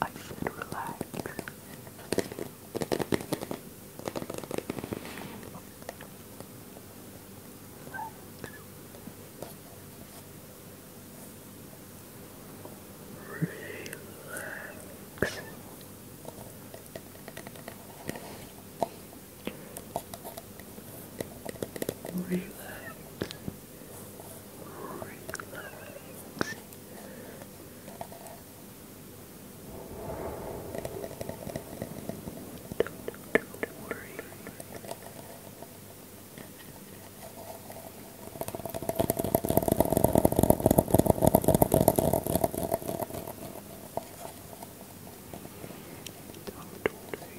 I should relax. Relax. Relax. Relax. Don't worry. Don't worry.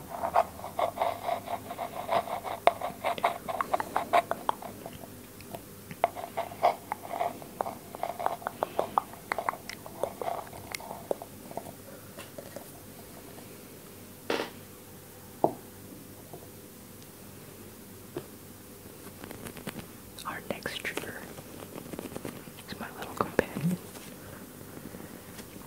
Our next trigger is my little companion.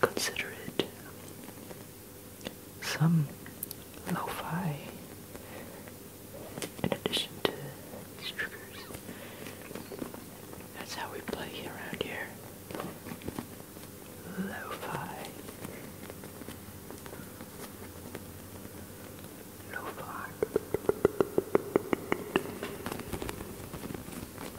consider it some lo-fi in addition to these That's how we play around here. Lo-fi. Lo-fi.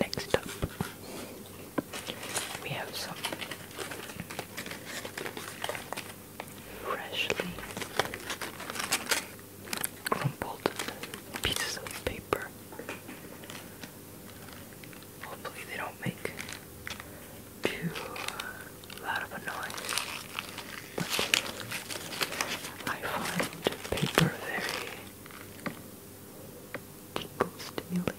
Next up, we have some freshly crumpled pieces of paper. Hopefully, they don't make too loud of a noise. I find paper very tickle stimulating.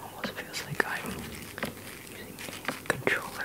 Almost feels like I'm using a controller.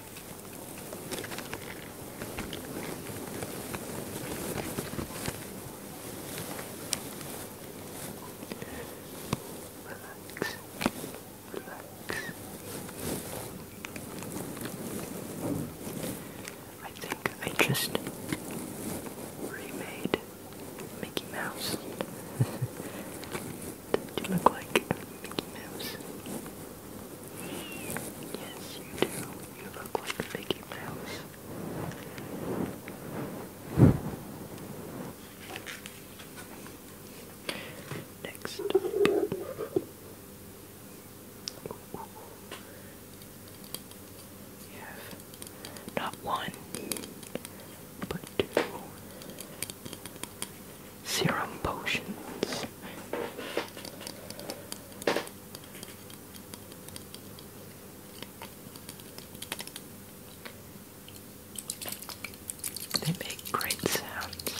Relax. Relax. I think I just remade Mickey Mouse. Do you look like Mickey Mouse? Yes, you do. You look like a Mickey Mouse. Next up. not one, but two serum potions. They make great sounds.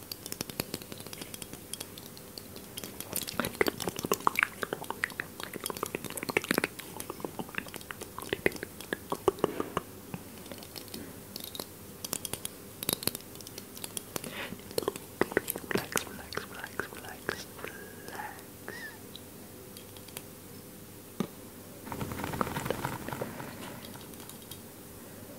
Relax, relax, relax, relax, relax. Good.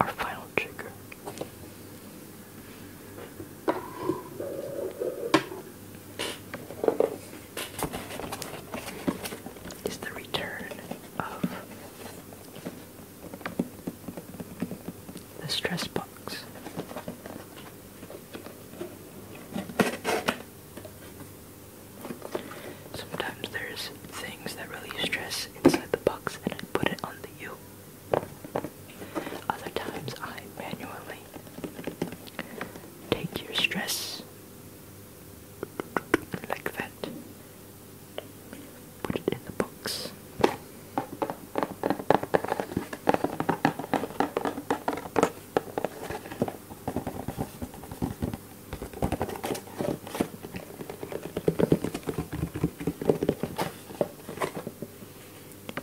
Our final trigger is the return of the stress box. Sometimes there's things that relieve stress inside the box and I put it on the other times I manually take your stress like that, put it in the books.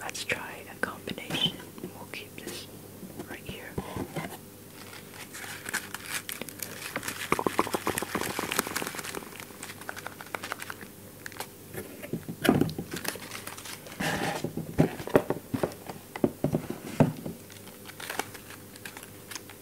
Let's try a combination. We'll keep this right here.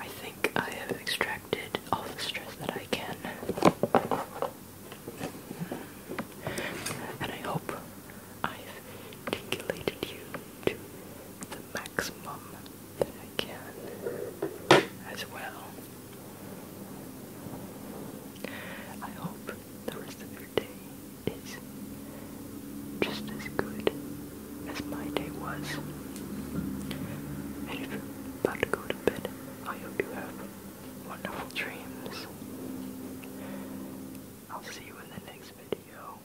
I think I have extracted all the stress that I can. And I hope I've tingulated you to the maximum that I can as well. I hope the rest of your day is just as good as my day was. And if you're about to go to bed, I hope you have wonderful dreams. I'll see you in the next video.